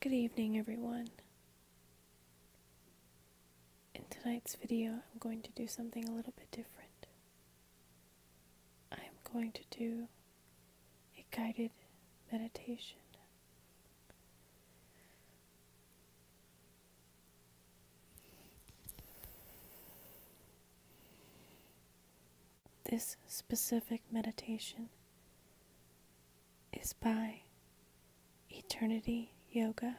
Good evening, everyone. In tonight's video, I'm going to do something a little bit different. I am going to do a guided meditation. This specific meditation is by Eternity Yoga.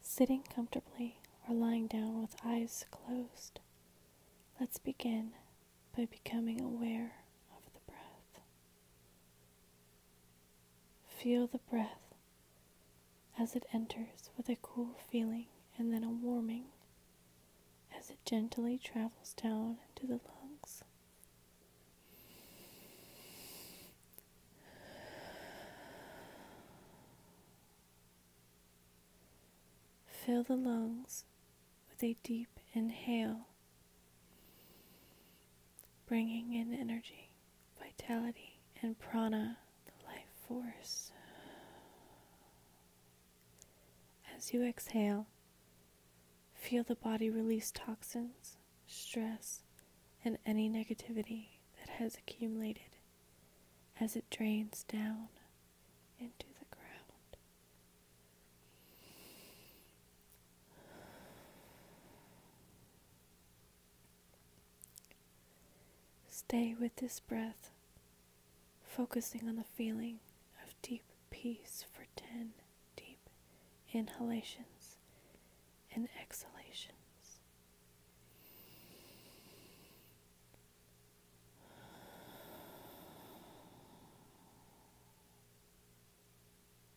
Sitting comfortably or lying down with eyes closed, let's begin by becoming aware of the breath. Feel the breath as it enters with a cool feeling and then a warming as it gently travels down to the lungs. Fill the lungs with a deep inhale, bringing in energy vitality, and prana, the life force. As you exhale, feel the body release toxins, stress, and any negativity that has accumulated as it drains down into the ground. Stay with this breath, focusing on the feeling of deep peace for 10 deep inhalations and exhalations.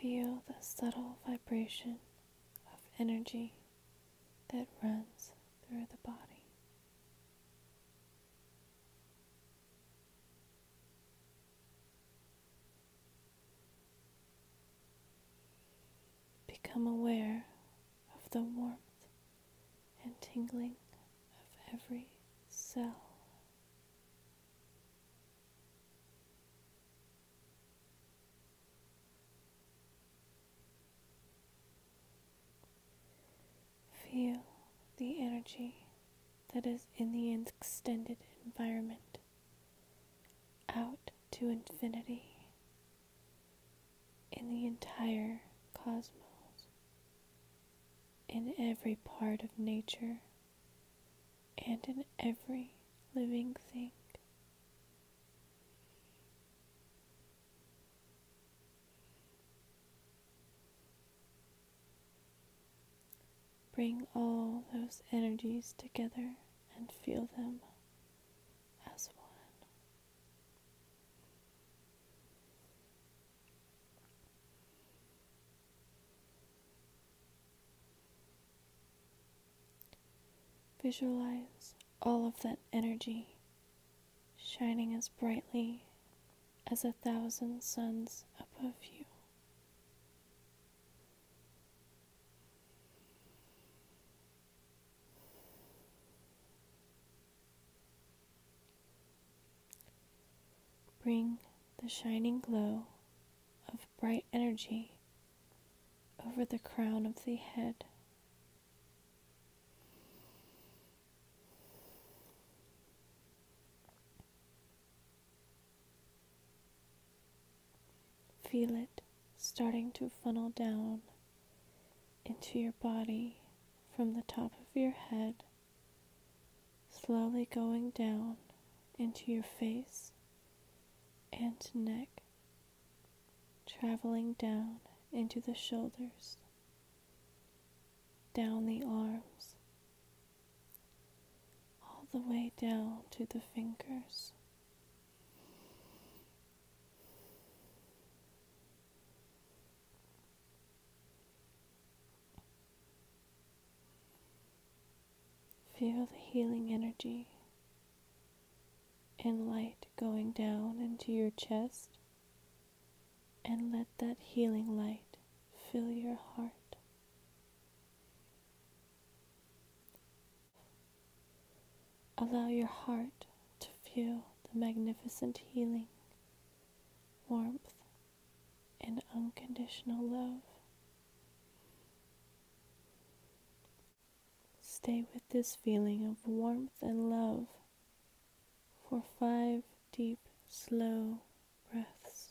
Feel the subtle vibration of energy that runs through the body. Become aware of the warmth and tingling of every cell Feel the energy that is in the extended environment out to infinity in the entire cosmos in every part of nature and in every living thing. Bring all those energies together and feel them as one. Visualize all of that energy shining as brightly as a thousand suns above you. Bring the shining glow of bright energy over the crown of the head. Feel it starting to funnel down into your body from the top of your head slowly going down into your face and neck, traveling down into the shoulders, down the arms, all the way down to the fingers. Feel the healing energy and light going down into your chest, and let that healing light fill your heart. Allow your heart to feel the magnificent healing, warmth, and unconditional love. Stay with this feeling of warmth and love for five deep, slow breaths.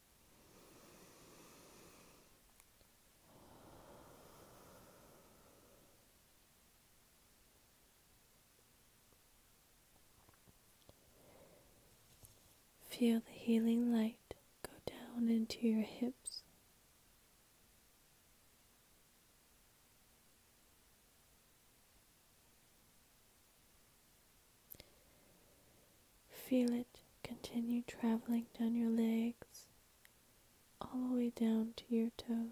Feel the healing light go down into your hips. Feel it continue traveling down your legs, all the way down to your toes.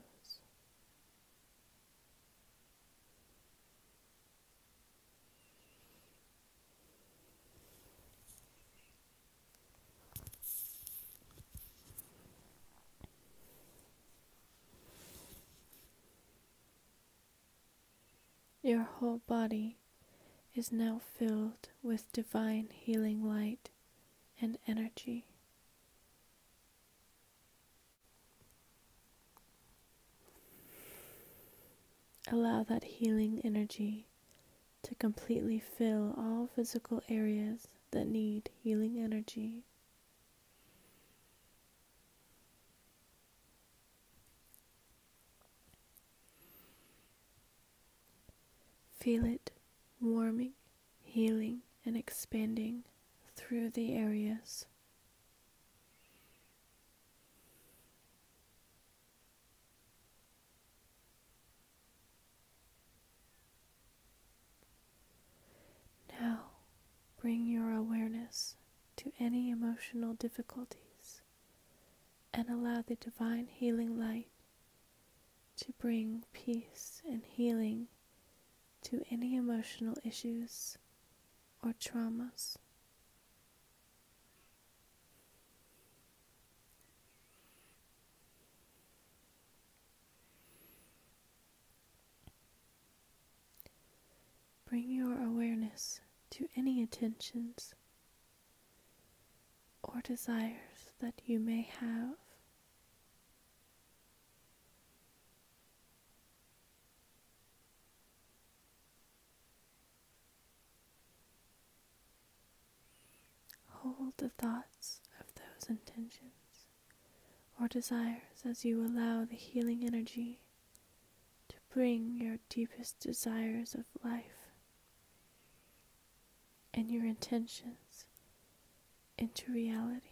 Your whole body is now filled with divine healing light and energy. Allow that healing energy to completely fill all physical areas that need healing energy. Feel it warming, healing, and expanding through the areas. Now, bring your awareness to any emotional difficulties and allow the divine healing light to bring peace and healing to any emotional issues or traumas. Bring your awareness to any attentions or desires that you may have. Hold the thoughts of those intentions or desires as you allow the healing energy to bring your deepest desires of life and your intentions into reality.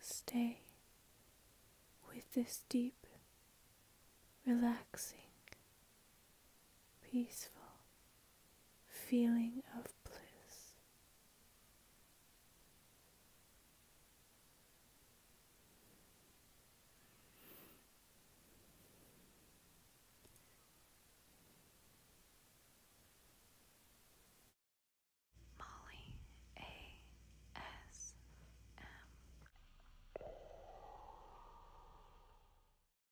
Stay with this deep, relaxing, peaceful feeling of bliss. Molly A. S. M.